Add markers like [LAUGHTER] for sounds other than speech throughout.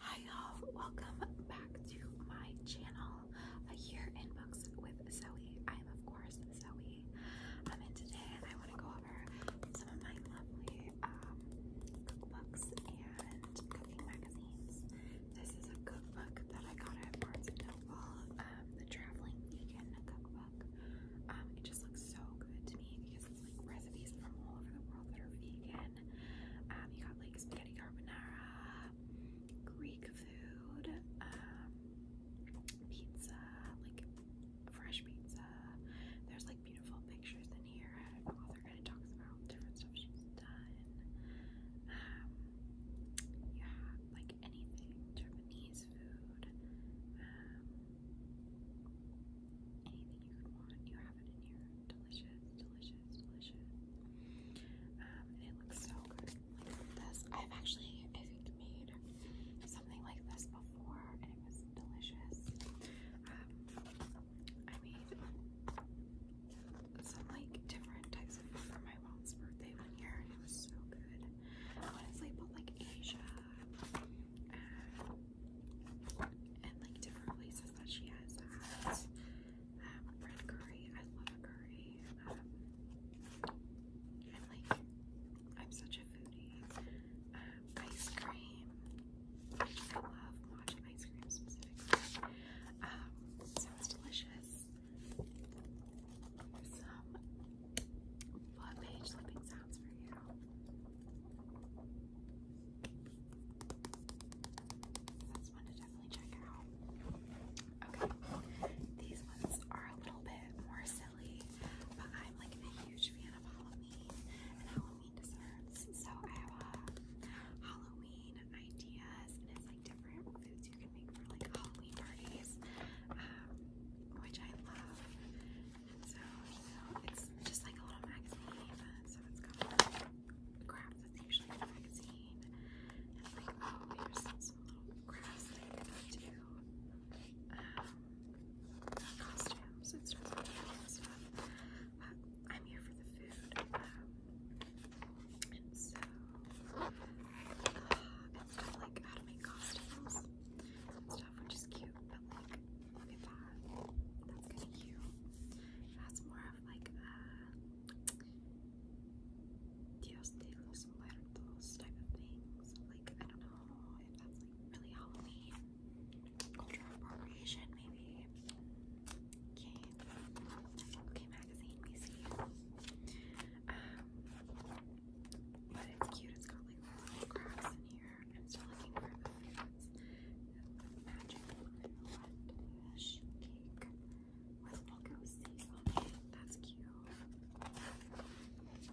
Hi y'all, welcome back to my channel, A in Books with Zoe. I'm of course Zoe. Um, and today I want to go over some of my lovely um, cookbooks and cooking magazines. This is a cookbook that I got at Barnes & Noble, um, the Traveling Vegan Cookbook. Um, it just looks so good to me because it's like recipes from all over the world that are vegan. Um, you got like spaghetti carbonara, Greek food, um, pizza, like fresh pizza. There's like beautiful pictures in here. An kind talks about different stuff she's done. Um, yeah, like anything Japanese food, you could want. You have it in here. Delicious, delicious, delicious. and it looks so good. this. I've actually, made something like this before and it was delicious. I made some like different types of food for my mom's birthday one year and it was so good. honestly put like Asia and like different places that she has at. Um, red curry, I love a curry. Um, I'm like, I'm such a foodie. Um, ice cream, I love matcha ice cream specifically. Um, sounds delicious. Some butt page slipping sounds for you. That's one to definitely check out. Okay, these ones are a little bit more silly, but I'm like a huge fan of Halloween and Halloween desserts. So I have uh, Halloween ideas, and it's like different foods you can make for like Halloween parties, um, which I love. so it's just like a little magazine, so it's crap that's usually in a magazine. And like, oh, here's some, little crafts that do. Um, costumes and stuff like But I'm here for the food. Um, so, uh, like how to make costumes stuff, which is cute, but like, look at that. That's kind of cute. That's more like uh, Dios de type of things. Like, I don't know if that's like really Halloween cultural appropriation, maybe. Okay, okay, magazine we um, but it's cute. It's got like little crafts in here. I'm still looking for the magic red cake with logo seas on That's cute. Um, eyeballs.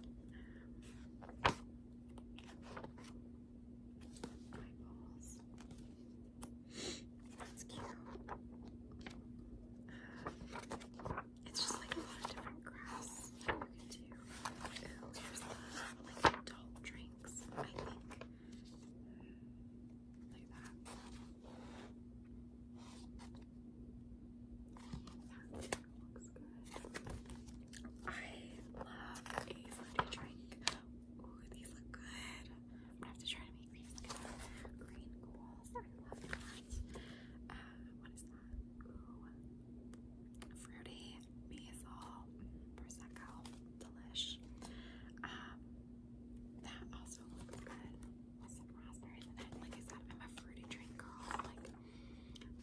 That's cute. it's just like a lot of different crafts you can do. Oh, here's the adult drinks, I think. I love a fruity drink. Ooh, these look good. I'm gonna have to try to make these. Green goals. I love that. Uh, what is that? Ooh. Fruity basil. Prosecco. Delish. Um, that also looks good with some raspberries in it. Like I said, I'm a fruity drink girl. Like,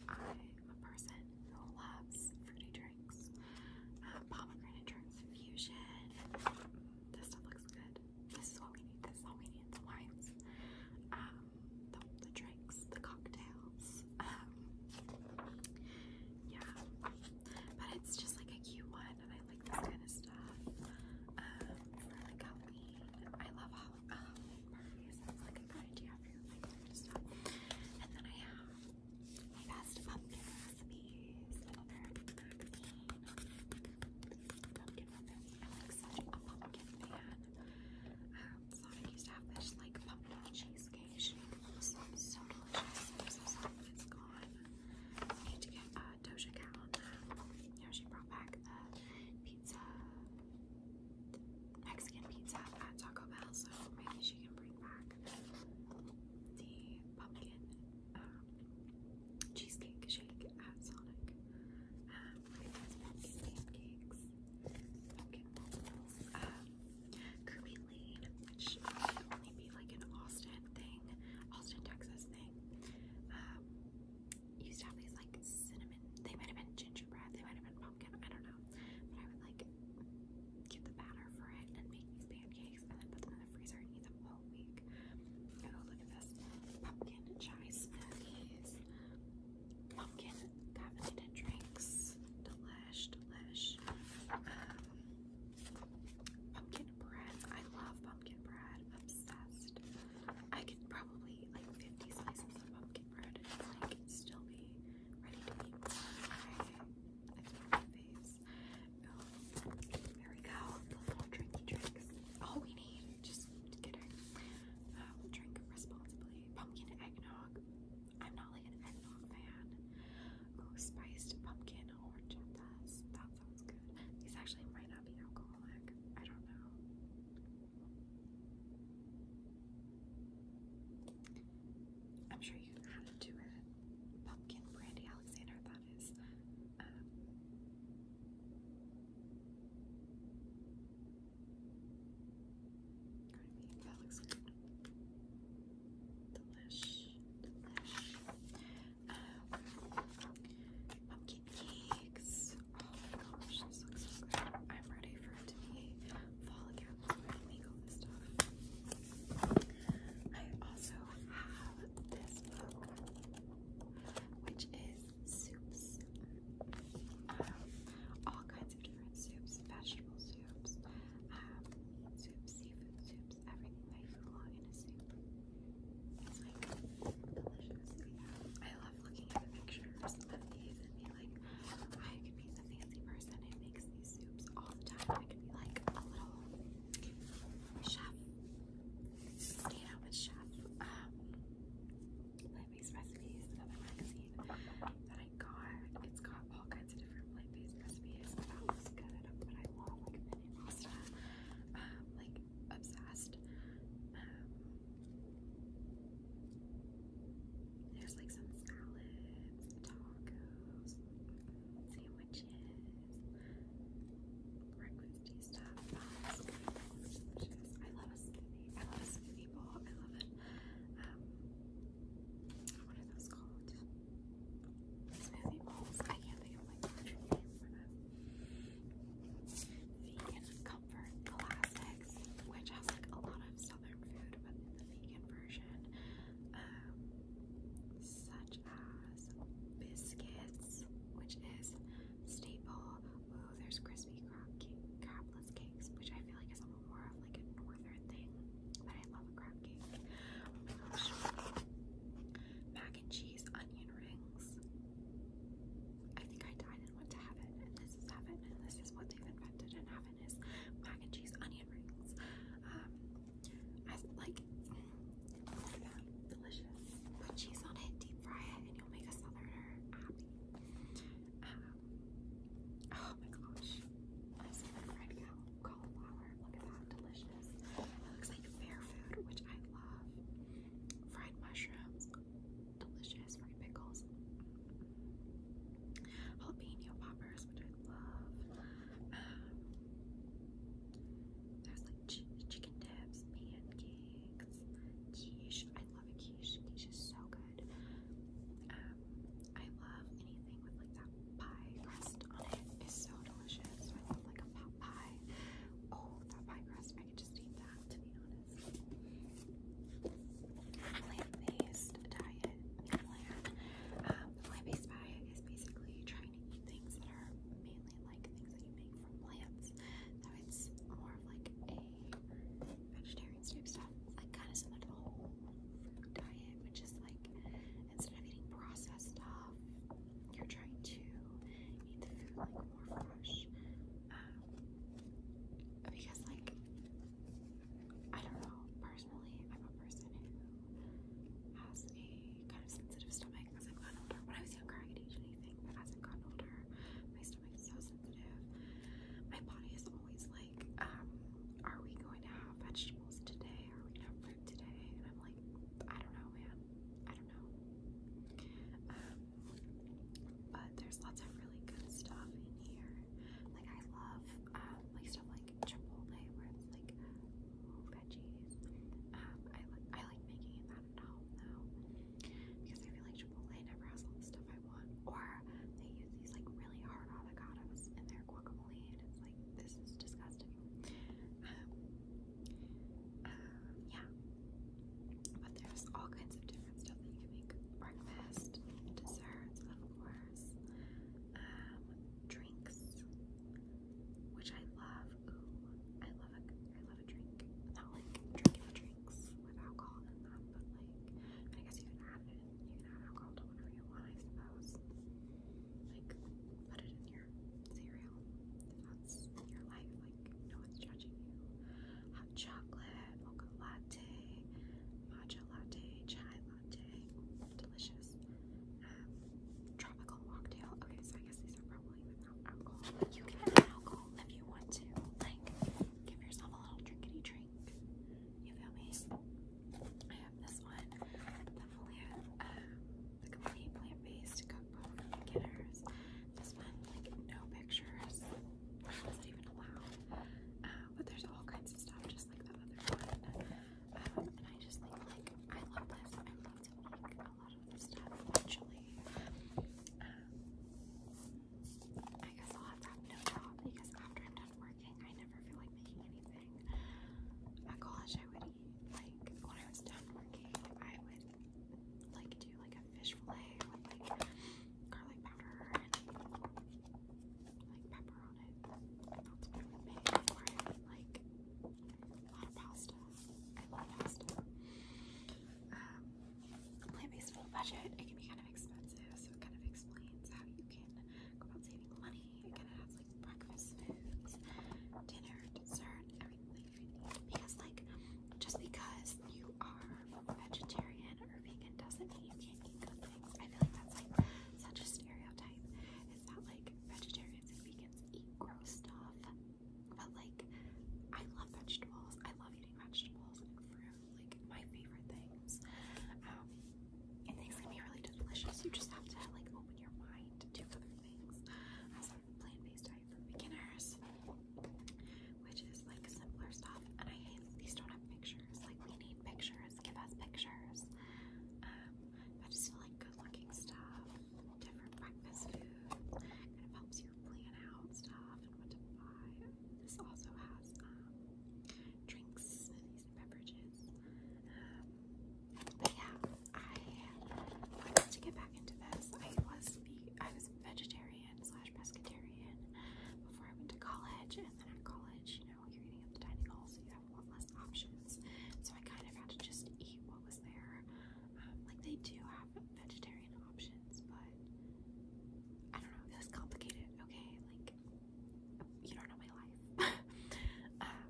I'm a person who loves fruity drinks, um, pomegranate drinks, fusion. This stuff looks good. This is what we need. This is all we need. The wines, um, the, drinks, the cocktails. Um, yeah. But it's just like a cute one, and I like this kind of stuff. Um, Halloween, I love uh, Halloween, parties. It's like a good idea for like stuff. And then I have my best pumpkin recipes. I love pumpkin i like such a pumpkin fan. Um, Sonic used to have this like pumpkin cheesecake shake. was so, delicious. it's gone to get a uh, Doja Cat she brought back the pizza, Mexican pizza at Taco Bell, so maybe she can bring back the pumpkin um, cheesecake shake at Sonic. Um, pumpkin pancakes, Kirby Lane, which will only be like in Austin, Austin thing, Austin, Texas thing. Um, used to have these like cinnamon, they might have been gingerbread, they might have been pumpkin, I don't know. But I would like get the batter for it and make these pancakes and then put them in the freezer and eat them all week. Oh, look at this pumpkin chai smoothies, pumpkin caffeinated drinks, delish, delish. Um, Pumpkin bread. I love pumpkin bread. Obsessed. I could probably eat like 50 slices of pumpkin bread and like still be ready to eat. I, I my face. Oh, we go. little drinky drinks. All we need. Just kidding. Um, drink responsibly. Pumpkin eggnog. I'm not like an eggnog fan. Ooh, spiced pumpkin orange and That sounds good. These actually might not be alcoholic. I don't know. I'm sure you know how to it. Pumpkin brandy Alexander, that is. Um, that looks good. Delish pumpkin cakes. Oh my gosh, this looks so good. I'm ready for it to be fall again when I make this stuff. I also have this book, which is soups. all kinds of different soups, vegetable soups, um, seafood soup. I love looking at the pictures of these and be like, I could be the fancy person who makes these soups all the time. I could be like a little chef, stay chef. Um, plant-based recipes, another magazine that I got. It's got all kinds of different plant-based recipes. That was good, but I love like mini pasta. Um, like obsessed. Um, there's like some salads, tacos, sandwiches, breakfasty stuff. I love a smoothie. I love a smoothie bowl. I love it. Um, what are those called? Smoothie bowls. I can't think of like the name for them. Vegan Comfort Classics, which has like a lot of southern food, but in the vegan version. Um, such as biscuits, which is staple. Oh, there's crispy crab cake, crabless cakes, which I feel like is more of like a northern thing, but I love a crab cake. Oh mac and cheese onion rings. I think I died and went to heaven, and this is heaven, and this is what they've invented in heaven is mac and cheese onion rings. Um, I like delicious. Put cheese on it, deep fry it, and you'll make a southerner um, oh my gosh, I see that red cow cauliflower. Look at that, delicious. It looks like fair food, which I love. Fried mushrooms, delicious. Fried pickles, jalapeno poppers, which I love. Um, there's like chicken dips, pancakes, quiche. I love quiche. Quiche is so good. Um, I love anything with like that pie crust on it. It's so delicious. I love like a pie. Oh, that pie crust, I could just eat that, to be honest. Plant-based diet plant-based diet is basically trying to eat things that are mainly like things that you make from plants. So it's more of like a vegetarian type stuff, like kind of similar to the whole fruit diet, which is like instead of eating processed stuff, you're trying to eat the food like more fresh. Um, because like I don't know, personally I'm a person who has a kind of sensitive stomach I've gotten older. When I was younger I could eat anything, but as I've gotten older, my stomach is so sensitive. My body is always like, um, are we going to have vegetables today? Are we gonna have fruit today? And I'm like, I don't know man, I don't know. Um, but there's lots of really good stuff in here. Like I love um, like stuff like Chipotle where it's like veggies. Um, I like I like making it at home though because I feel like Chipotle never has all the stuff I want. Or they use these like really hard avocados in their guacamole and it's like this is disgusting. Um, yeah. But there's all kinds of different stuff that you can make breakfast, desserts, of course, um, drinks, which I love. Ooh, I love a, I love a drink. Not like drinking drinks with alcohol in them, but like, I guess you can add it, you can add alcohol to whatever you want, I suppose. Um, like put it in your cereal that's your life, like no one's judging you. Hot chocolate, mocha latte, matcha latte, chai latte, delicious. Um, tropical mocktail. Okay, so I guess these are probably without alcohol. You can have alcohol if you want to. Like, give yourself a little drinkity drink. You feel me? I have this one, the Folia the complete plant-based cookbook This one, like no pictures. How is that even allowed? Uh, but there's all kinds of stuff, just like that other one. Um, and I just think, like, I love this. I love to make a lot of this stuff eventually. Um, I guess I'll have to have no job because after I'm done working, I never feel like making anything. At college, I would eat, like, when I was done working, I would like do like a fish fillet with like garlic powder and like pepper on it. That's what I would make or I would like a lot of pasta. I love pasta. Um plant-based full budget, it can be kind of expensive, so it kind of explains how you can go about saving money. It kind of has like breakfast foods, dinner, dessert, everything. Because, like, just because you are vegetarian or vegan doesn't mean you can't eat good things. I feel like that's like such a stereotype. Is that like vegetarians and vegans eat gross stuff? But like, I love vegetables. I love eating vegetables and fruit. Like my favorite things. Um, and things can be really delicious. You just have to like open your mind to other things. As plant-based diet for beginners, which is like simpler stuff. And I hate these don't have pictures. Like we need pictures. Give us pictures. Um, but just feel like good-looking stuff, different breakfast food, kind of helps you plan out stuff and what to buy. This also has um, drinks, smoothies, and beverages. Um, but yeah, I wanted to get back into this. I was I was vegetarian slash pescatarian before I went to college, and then at college, you know, you're eating at the dining hall, so you have a lot less options. So I kind of had to just eat what was there. Um, like they do have vegetarian options, but I don't know. It was complicated. Okay, like you don't know my life. [LAUGHS] Um,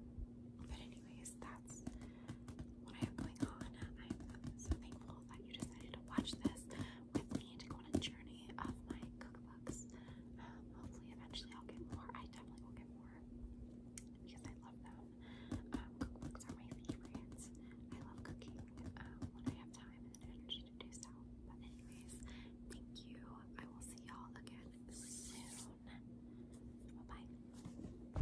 but anyway anyways, that's what I have going on. I'm so thankful that you decided to watch this with me to go on a journey of my cookbooks. Um, hopefully, eventually, I'll get more. I definitely will get more because I love them. Um, cookbooks are my favorites. I love cooking um, when I have time and energy to do so. But, anyways, thank you. I will see y'all again soon. Bye bye.